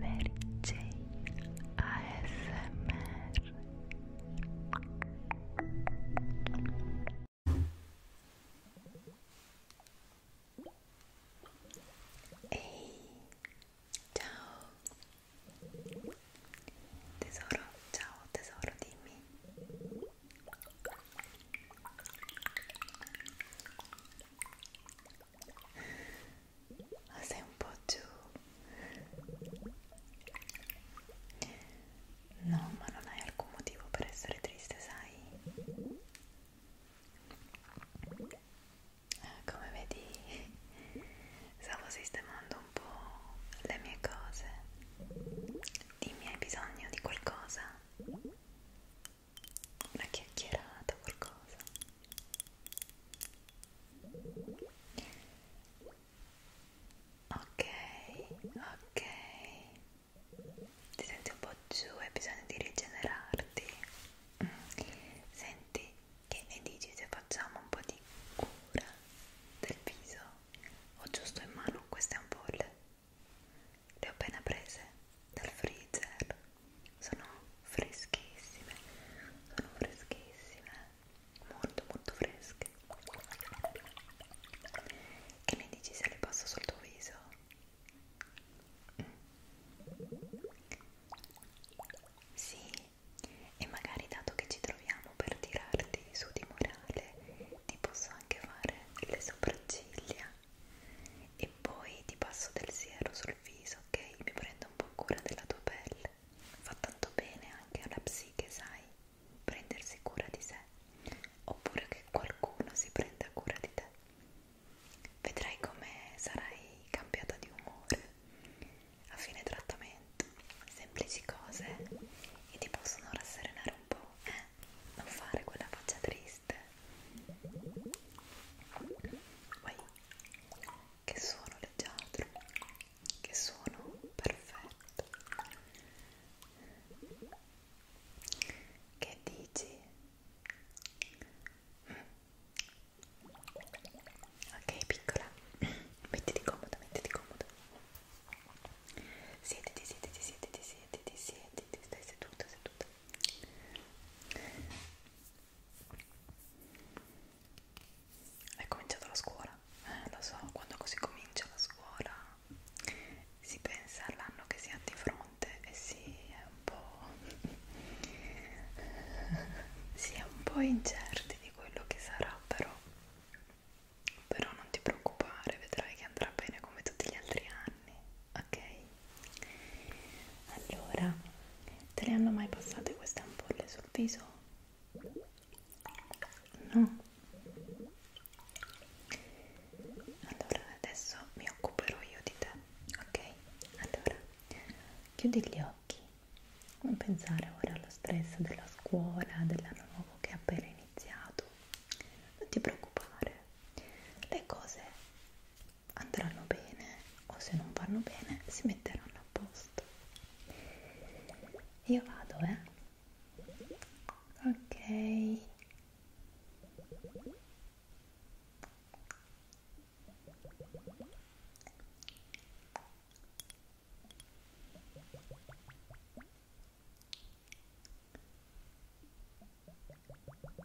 Mary Jane ASMR Ehi, ciao tesoro, ciao tesoro, dimmi ma sei un po' giù no ma non hai alcun motivo per essere triste sai eh, come vedi stavo sistemando un po' le mie cose dimmi hai bisogno di qualcosa una chiacchierata qualcosa ok ok ti senti un po' giù hai bisogno di rigenerarti senti che ne dici se facciamo un po' di cura del viso ho giusto in mano queste ampolle le ho appena prese dal freezer sono freschissime sono freschissime molto molto fresche che ne dici se le passo sul tuo viso? Mm. sì e magari dato che ci troviamo per tirarti su di morale ti posso anche fare le sopracciglia e poi ti passo del siero sul viso, ok? Mi prendo un po' cura della tua pelle. Fa tanto bene anche alla psiche, sai, prendersi cura di sé, oppure che qualcuno si prenda cura di te. Vedrai come sarai cambiata di umore a fine trattamento. Semplici cose eh? e ti possono rasserenare un po', eh? Non fare quella faccia triste Vai. Che suono leggiadro, che suono perfetto. Che dici? Ok, piccola, mettiti comoda, mettiti comoda. Siediti, siediti, siediti, siediti, siediti, stai seduta, seduta. È cominciata la scuola, eh, lo so, quando così comincia la scuola si pensa all'anno che si ha di fronte e si è un po', si è un po' incerti di quello che sarà, però, però non ti preoccupare, vedrai che andrà bene come tutti gli altri anni anni, ok? Allora, te le hanno mai passate queste ampolle sul viso? No? Allora, adesso mi occuperò io di te, ok? Allora, chiudi gli occhi, non pensare ora allo stress della scuola, dell'anno nuovo che è appena iniziato, non ti preoccupare, le cose andranno bene o se non vanno bene si metteranno a posto io vado eh ok ok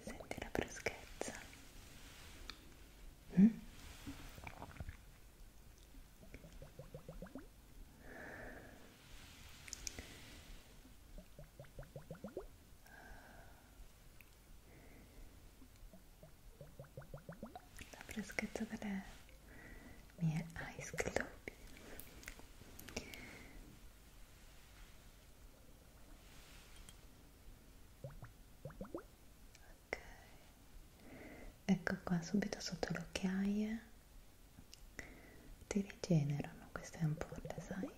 Senti la freschezza. Mm? La freschezza delle mie ice globe ok ecco qua subito sotto le occhiaie ti rigenerano queste ampolle sai?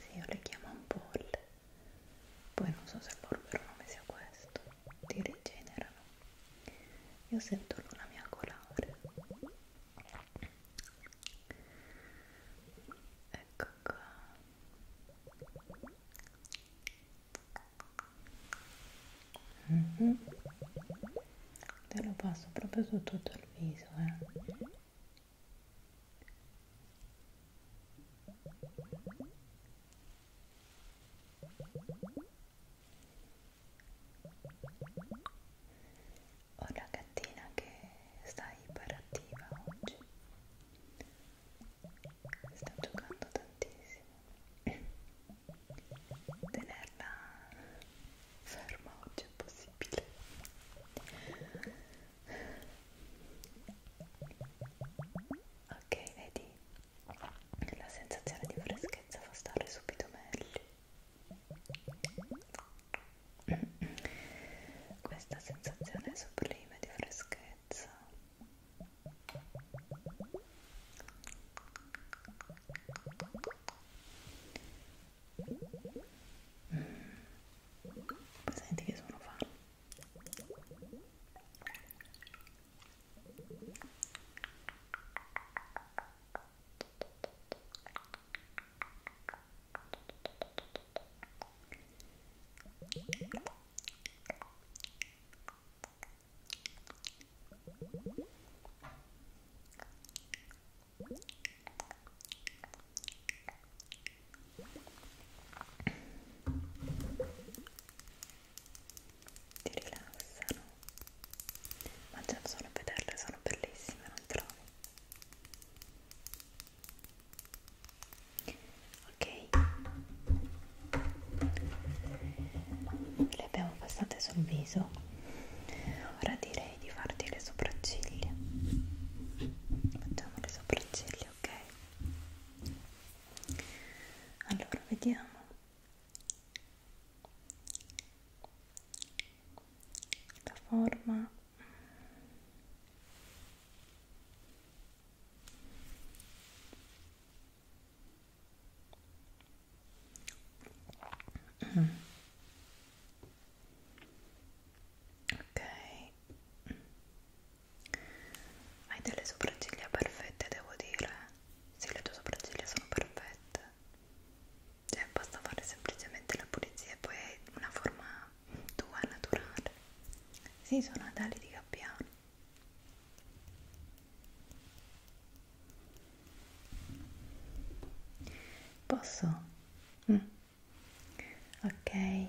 sì io le chiamo ampolle poi non so se il loro vero nome sia questo ti rigenerano io sento l'una mia colare ecco qua mm -hmm. te lo passo proprio su tutto il viso eh ho una gattina che sta iperattiva oggi. Sta giocando tantissimo. Tenerla ferma oggi è possibile. Ok, vedi? La sensazione di freschezza fa stare subito meglio questa sensazione sublime di freschezza mm. senti che sono fa ti rilassano, ma già sono a vederle, sono bellissime, non trovi? ok le abbiamo passate sul viso ora direi di farti le sopracciglia facciamo le sopracciglia ok allora vediamo la forma mm. ok hai delle sopracciglia perfette devo dire sì le tue sopracciglia sono perfette cioè basta fare semplicemente la pulizia e poi è una forma tua naturale si sì, sono adali di gabbiano posso? Mm. ok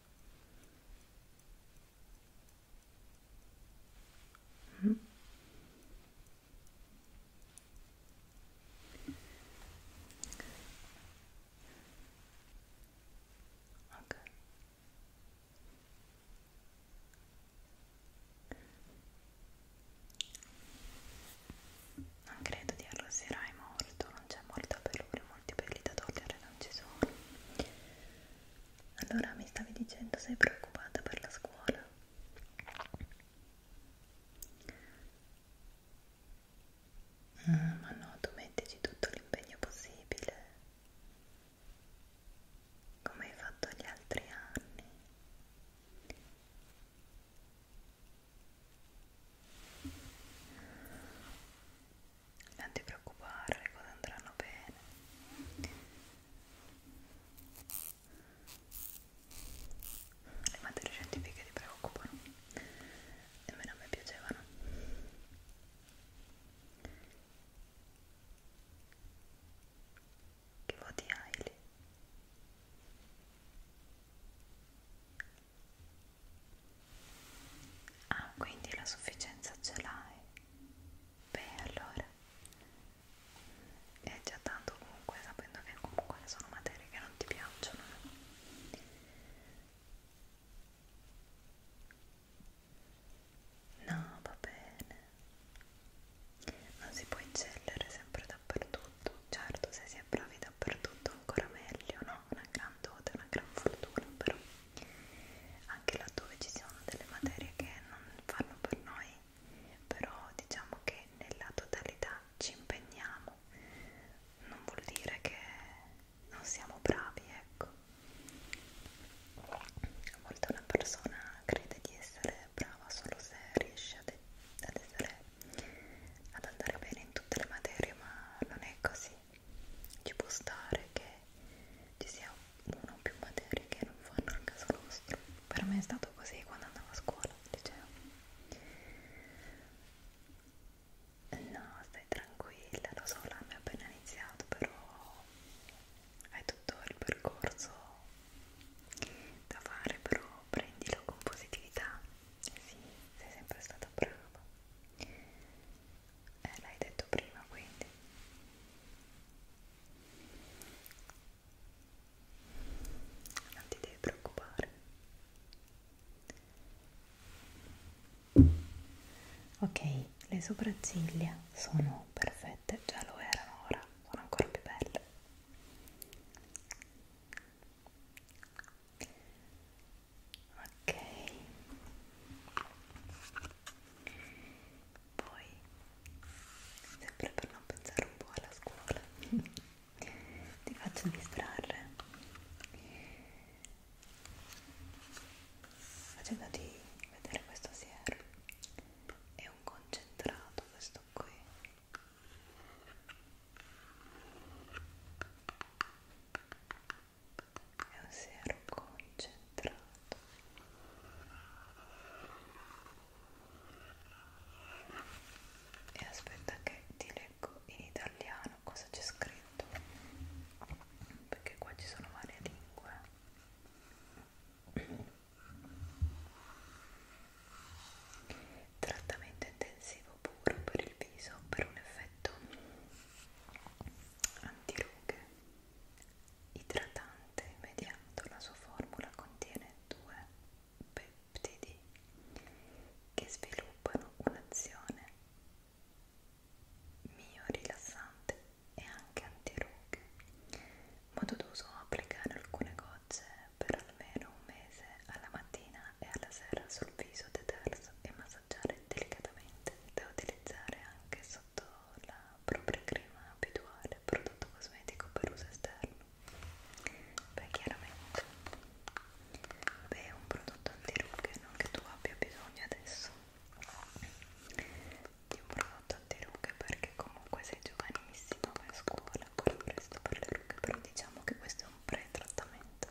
Mm. Okay. Non credo di arrossirai molto, non c'è molta pelure, molti peli da togliere da non ci sono. Allora mi stavi dicendo sei preoccupata per la scuola? Mm, ma no, tu mettici tutto l'impegno possibile, come hai fatto gli altri anni non ti preoccupare le cose andranno bene le materie scientifiche ti preoccupano nemmeno a me piacevano che voti hai lì? Ah, quindi la sufficienza ce l'hai? Beh, allora è già tanto comunque, sapendo che comunque sono materie che non ti piacciono. Eh. No, va bene. Non si può eccellere sempre dappertutto. Certo, se si è bravi dappertutto ancora meglio, no? Una gran tanto ed è una gran fortuna però anche laddove ci sono delle materie che non fanno per noi però diciamo che nella totalità ci impegniamo non vuol dire che non siamo bravi ecco a volte una persona crede di essere brava solo se riesce ad, ad essere ad andare bene in tutte le materie ma non è così ci può stare che ci sia una o più materie che non fanno al caso nostro per me è stato così quando andavo a scuola al liceo no stai tranquilla lo so l'anno è appena iniziato però hai tutto il percorso da fare però prendilo con positività sì sei sempre stata brava eh, l'hai detto prima quindi non ti devi preoccupare ok le sopracciglia sono perfette già lo erano ora sono ancora più belle ok poi sempre per non pensare un po' alla scuola ti faccio distrarre facendoti vedere questo siero è un concentrato questo qui è un siero concentrato e aspetta che ti leggo in italiano cosa c'è scritto perché qua ci sono varie lingue trattamento intensivo puro per il viso per un effetto antirughe idratante immediato la sua formula contiene due peptidi che sviluppano un'azione mio rilassante e anche antirughe modo d'uso applicare alcune gocce per almeno un mese alla mattina mattina e alla sera sul viso deterso e massaggiare delicatamente. Da utilizzare anche sotto la propria crema abituale, prodotto cosmetico per uso esterno. Beh, chiaramente, beh, è un prodotto antirughe, non che tu abbia bisogno adesso di un prodotto antirughe perché comunque sei giovanissimo, vai a scuola, ancora presto per le rughe, però diciamo che questo è un pre-trattamento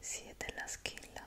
si sì, è della Skill Lab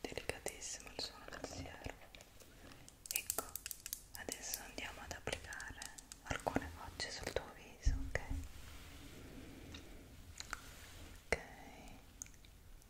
delicatissimo il suono del siero ecco adesso andiamo ad applicare alcune gocce sul tuo viso ok ok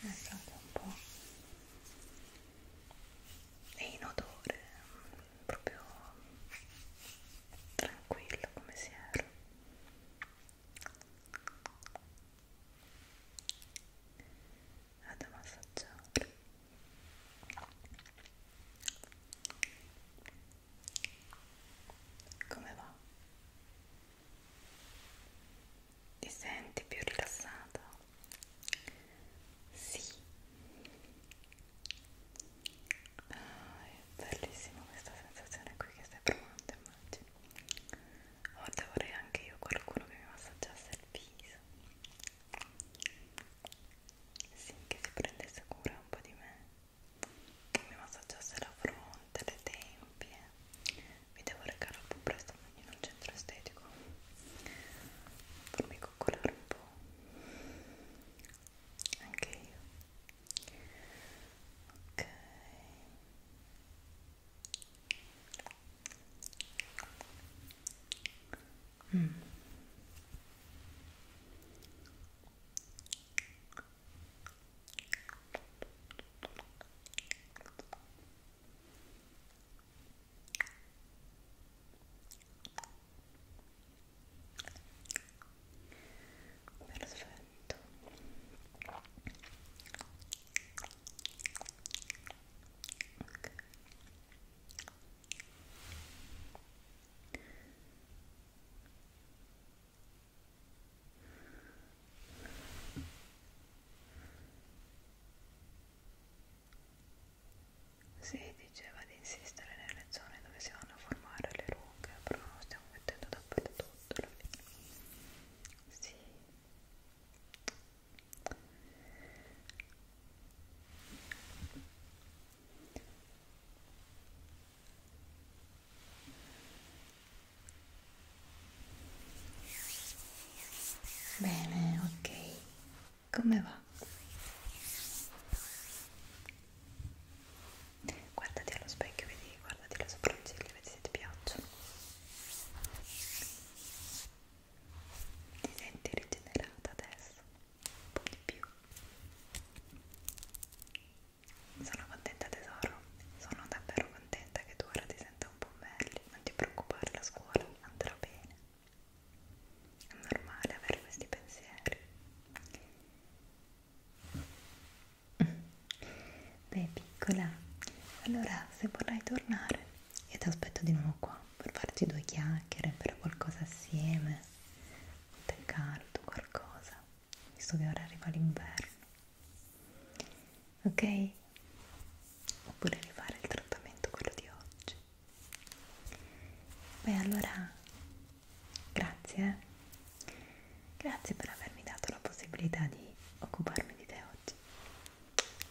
Pensate un po' è inodore, proprio tranquillo come si era vado a massaggiare come va? Ti senti più rilassato? Sì. Ah, è bellissima questa sensazione qui che stai provando, immagino. A volte vorrei anche io qualcuno che mi massaggiasse il viso. Sì, che si prendesse cura un po' di me che mi massaggiasse la fronte, le tempie mi devo recare un po' presto in un centro estetico farmi coccolare un po' anche io ok Mm perfetto ok si diceva di insistere nelle zone dove si vanno a formare le rughe, però lo stiamo mettendo dappertutto alla fine. Sì. Bene, ok. Come va? Guardati allo specchio, vedi, guardati le sopracciglia, vedi se ti piacciono. Ti senti rigenerata adesso? Un po' di più. Sono contenta tesoro, sono davvero contenta che tu ora ti senta un po' meglio, non ti preoccupare, la scuola andrà bene. È normale avere questi pensieri. Beh piccola, allora se vorrai tornare io ti aspetto di nuovo qua per farci due chiacchiere, bere qualcosa assieme, un tè caldo, qualcosa visto che ora arriva l'inverno ok? oppure rifare il trattamento quello di oggi beh allora grazie eh? grazie per avermi dato la possibilità di occuparmi di te oggi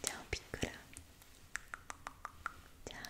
ciao piccola ciao